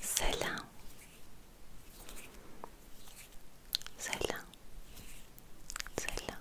Selam. Selam. Selam.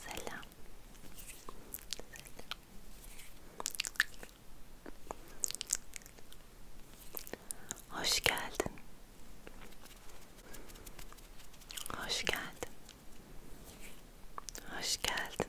Selam. Hoş geldin. Hoş geldin. Hoş geldin.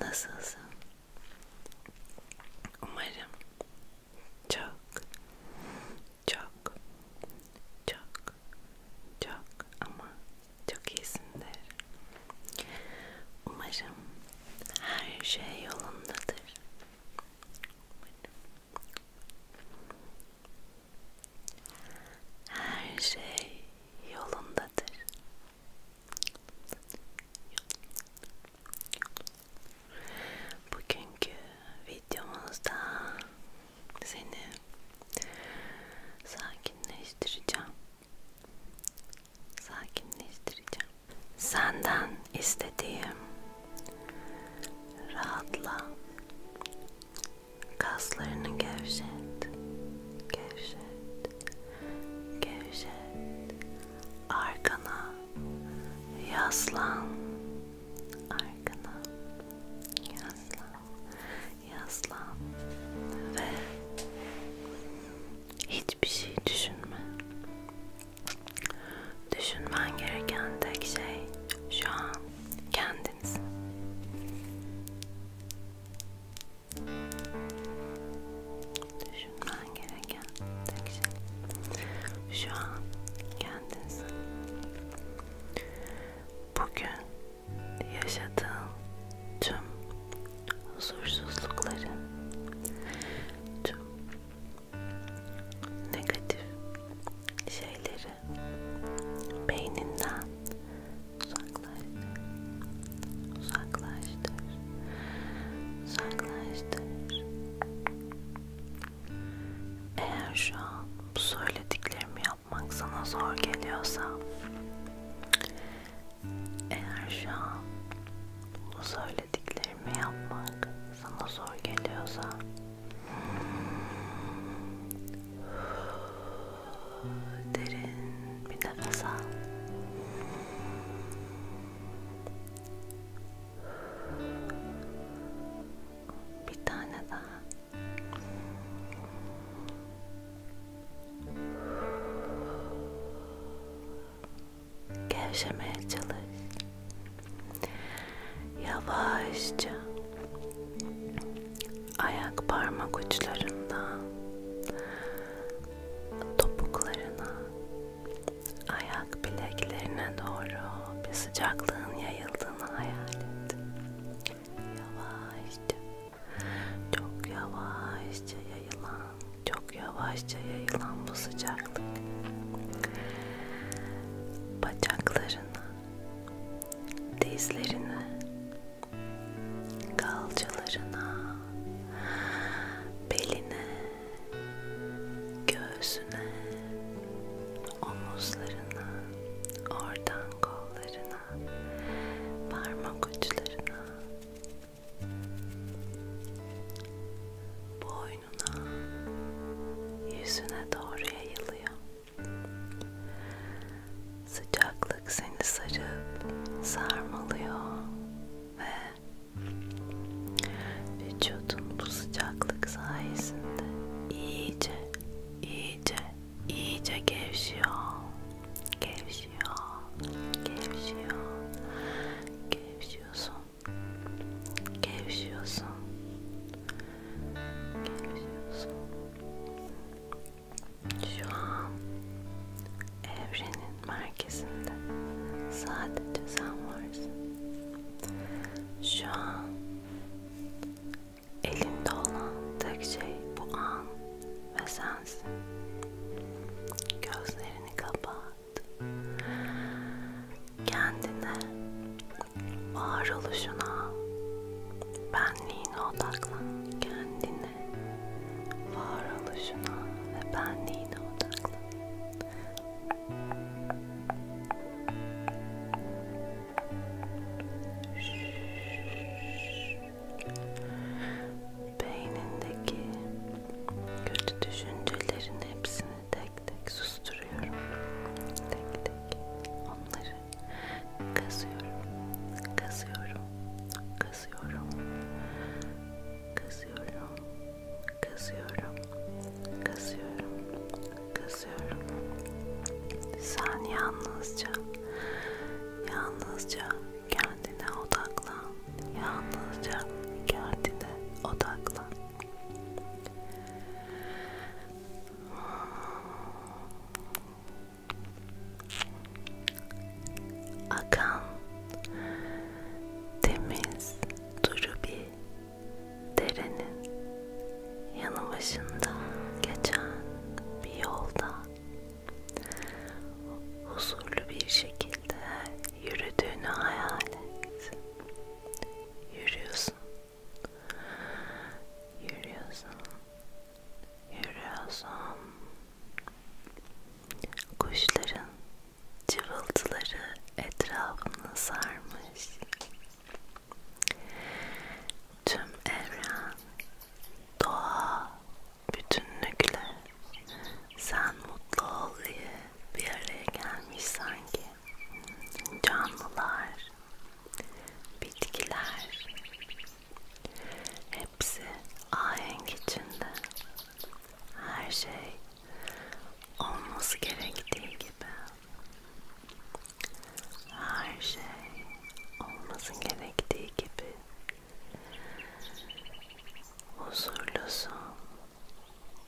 Nasılsın? Umarım çok, çok, çok, çok ama çok iyisindir. Umarım her şey yolundadır. Her şey yolundadır. Bugünkü videomuzda seni sakinleştireceğim. Sakinleştireceğim. Senden istediğim rahatla. Kaslarını gevşet. Gevşet gevşet arkana yaslan arkana yaslan yaslan ve hiçbir şey düşünme düşünmen gereken tek şey şu an kendiniz Düşünmen gereken tek şey şu an kendinsin. Bugün yaşadığın tüm huzursuzlukları, tüm negatif şeyleri beyninden uzaklaştır uzaklaştır uzaklaştır eğer şu an bu söylediklerimi yapmak sana zor geliyorsa eğer şu an bu söylediklerimi yapmak sana zor geliyorsa Derin bir nefes al. Bir tane daha. Gevşemeye çalış. Yavaşça ayak parmak uçlarından topuklarına, ayak bileklerine doğru bir sıcaklığın yayıldığını hayal et. Yavaşça, çok yavaşça yayılan, çok yavaşça yayılan bu sıcaklık bacaklarına, dizlerine, kalçalarına, beline, göğsüne, omuzlarına, oradan kollarına, parmak uçlarına, boynuna, yüzüne doğru yayılıyor. Sıcaklık seni sarıp sarmalıyor ve vücudun bu sıcaklık sayesinde iyice, iyice, iyice gevşiyor, gevşiyor, gevşiyor, gevşiyorsun, gevşiyorsun, gevşiyorsun. Şu an evrenin merkezinde sadece sen varsın. Şu an elinde olan tek şey bu an ve sensin. Gözlerini kapat. Kendine Var oluşuna, benliğine odaklan. Kendine, var oluşuna ve benliğine odaklan. Beynindeki kötü düşüncelerin hepsini tek tek susturuyorum. Tek tek onları kazıyorum, kazıyorum, kazıyorum, kazıyorum, kazıyorum, kazıyorum, kazıyorum. Sen yalnızca, yalnızca kendine odaklan, yalnızca kendine odaklan. Akan temiz duru bir derenin yanı başında geçen bir yolda huzurlu bir şekilde yürüdüğünü hayal et. Yürüyorsun Yürüyorsun. Yürüyorsun. Kuşların cıvıltıları etrafını sarmış. Tüm evren, doğa, bütünlükle sen mutlu ol diye bir araya gelmiş sanki canlılar, bitkiler hepsi ahenk içinde. Her şey olması gerektiği gibi. Her şey olması gerektiği gibi. Huzurlusun,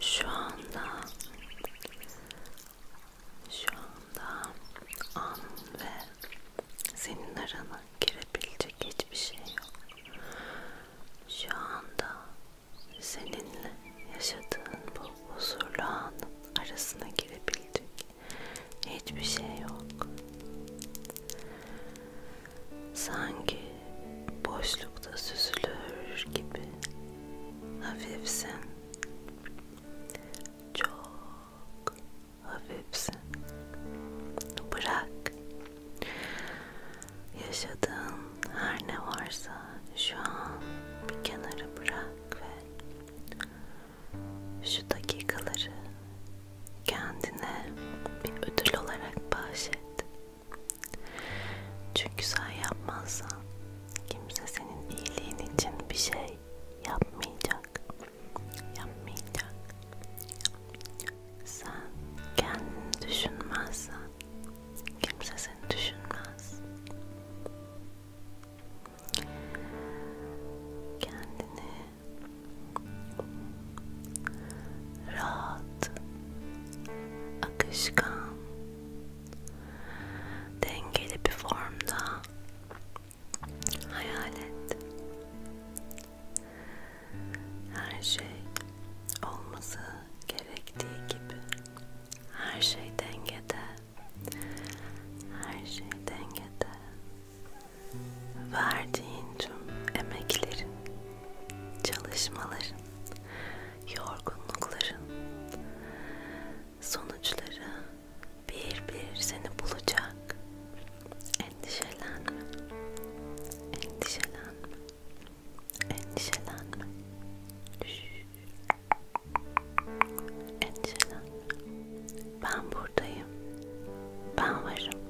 Şu anda şu anda an ve senin arana girebilecek hiçbir şey yok. Şu anda seninle yaşadığın bu huzurlu anın arasına girebilecek hiçbir şey yok sanki boşlukta süzülür gibi hafifsin çok hafifsin bırak yaşadığın her ne varsa şu an bir kenara bırak ve şu dakikaları kendine bir ödül olarak bahşet çünkü sen yapmazsan kimse senin iyiliğin için bir şey yapmayacak. Yapmayacak. Sen kendini düşünmezsen kimse seni düşünmez. Kendini rahat, akışkan, dengeli bir formda hayal et. Her şey olması gerektiği gibi, her şey dengede, her şey dengede. Verdiğin tüm emeklerin çalışmaların, yorgunlukların sonuçları bir bir seni bulacak. Endişelenme, endişelenme, endişelenme. Şşş. Endişelenme. Ben buradayım. Ben varım.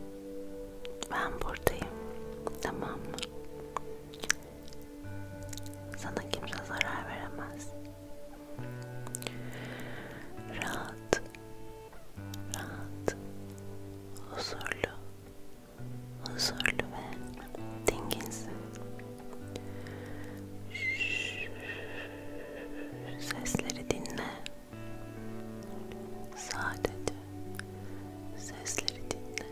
Ben buradayım. Tamam mı? Sana kimse zarar veremez. Rahat. Rahat. Huzurlu. Huzurlu ve dinginsin. Sesleri dinle. Sadece sesleri dinle.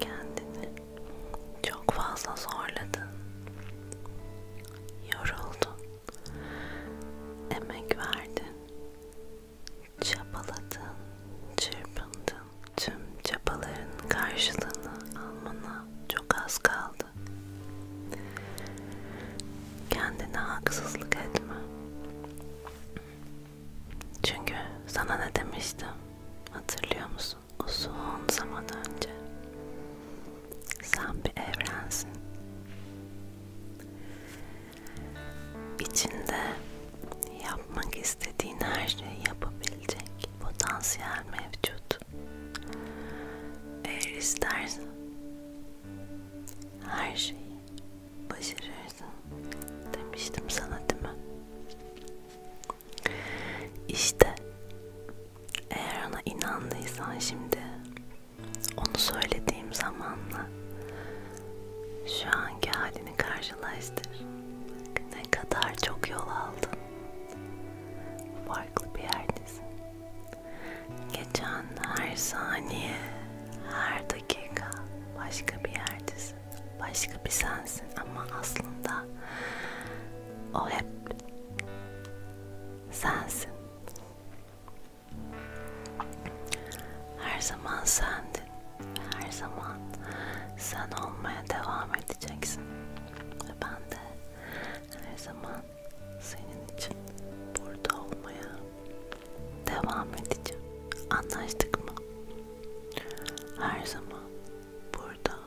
Kendini çok fazla zorladın. Yoruldun. Emek verdin. Çabaladın. Çırpındın tüm çabaların karşılığını almana çok az kaldı. Kendine haksızlık etme. Çünkü sana ne demiştim? Hatırlıyor musun? Uzun zaman önce. Sen bir evrensin. İçinde yapmak istediğin her şeyi yapabilecek potansiyel mevcut. Eğer istersen her şeyi başarırsın demiştim sana değil mi? İşte eğer ona inandıysan şimdi onu söylediğim zamanla şu anki halini karşılaştır. Bak, ne ne kadar çok yol aldın. Farklı bir yerdesin. Geçen her saniye, her dakika başka bir yerdesin. Başka bir sensin ama aslında o hep sensin. Her zaman sendin her zaman sen olmaya devam edeceksin ve ben de her zaman senin için burada olmaya devam edeceğim. Anlaştık mı? Her zaman burada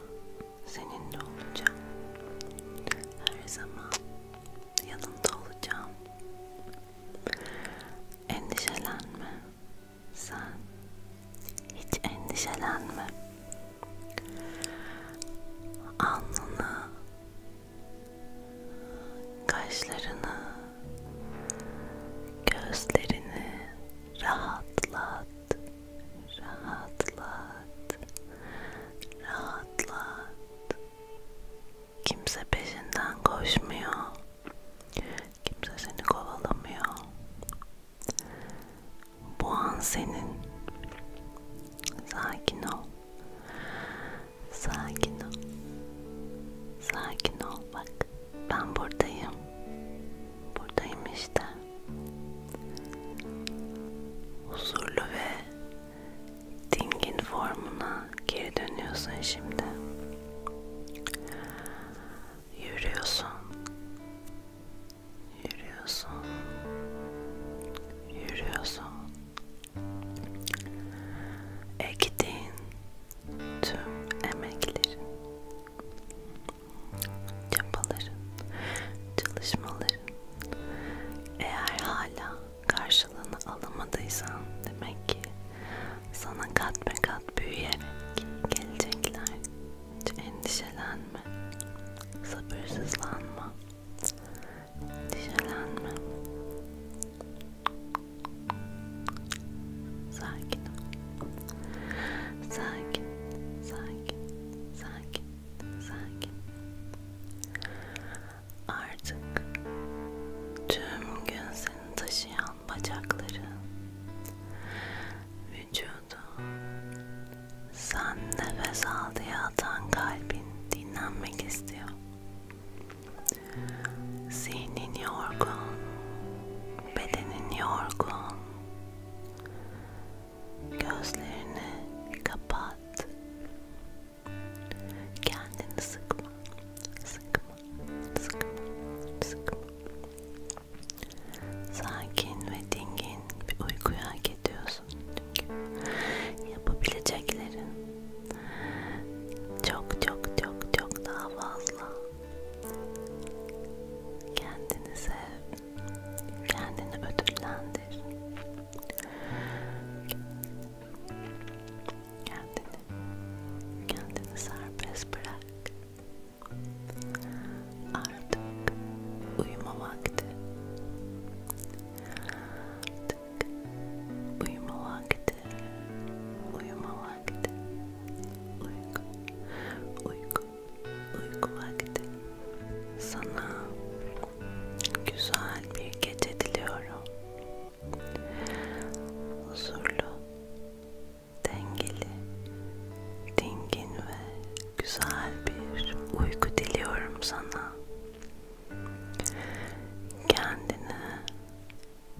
seninle olacağım. Her zaman yanında olacağım. Endişelenme. Sen hiç endişelenme. Alnını, kaşlarını, gözlerini rahatlat, rahatlat, rahatlat. Kimse peşinden koşmuyor. Kimse seni kovalamıyor. Bu an senin. Sakin ol. Sakin ol. Sakin ol bak. Ben buradayım. Buradayım işte. Huzurlu ve dingin formuna geri dönüyorsun şimdi yürüyorsun yürüyorsun yürüyorsun ektiğin tüm emeklerin çabaların çalışmaların eğer hala karşılığını alamadıysan demek ki sana kat be kat büyüyerek gelecekler. Hiç endişelenme, sabırsızlanma, endişelenme. Sakin ol. Sakin, sakin, sakin, sakin. Artık tüm gün seni taşıyan bacakların, vücudun, sen nefes al diye atan kalbin dinlenmek istiyor. Zihnin yorgun, bedenin yorgun. Gözlerini kapat. Kendini sıkma, sıkma, sıkma, sıkma. Sakin ve dingin bir uykuyu hak ediyorsun çünkü yapabileceklerin çok çok çok çok daha fazla. Kendini sev, kendini ödüllendir. Kendini, kendini serbest bırak. Artık uyuma vakti. Artık uyuma vakti. Uyuma vakti. Uyku, uyku, uyku vakti. Sana güzel bir gece diliyorum. Huzurlu, dengeli, dingin ve güzel bir uyku diliyorum sana. Kendine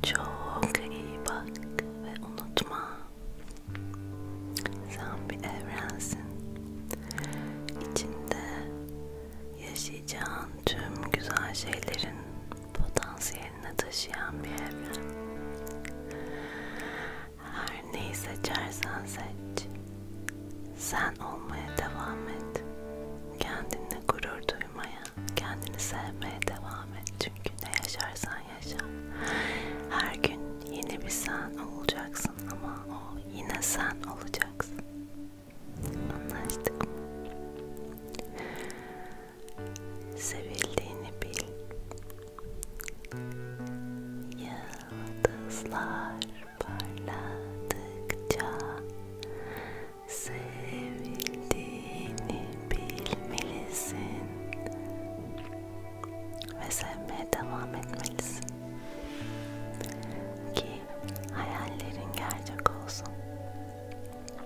çok iyi bak ve unutma. Sen bir evrensin. İçinde yaşayacağın tüm güzel şeylerin potansiyelini taşıyan bir evren. Her neyi seçersen seç. Sen olmaya devam et. Kendinle gurur duymaya, kendini sevmeye devam et. Çünkü ne yaşarsan yaşa. Her gün yeni bir sen olacaksın ama o yine sen olacaksın. Anlaştık mı? Sevildiğini bil. Yıldızlar parladıkça sevildiğini bilmelisin ve sevmeye devam etmelisin ki hayallerin gerçek olsun.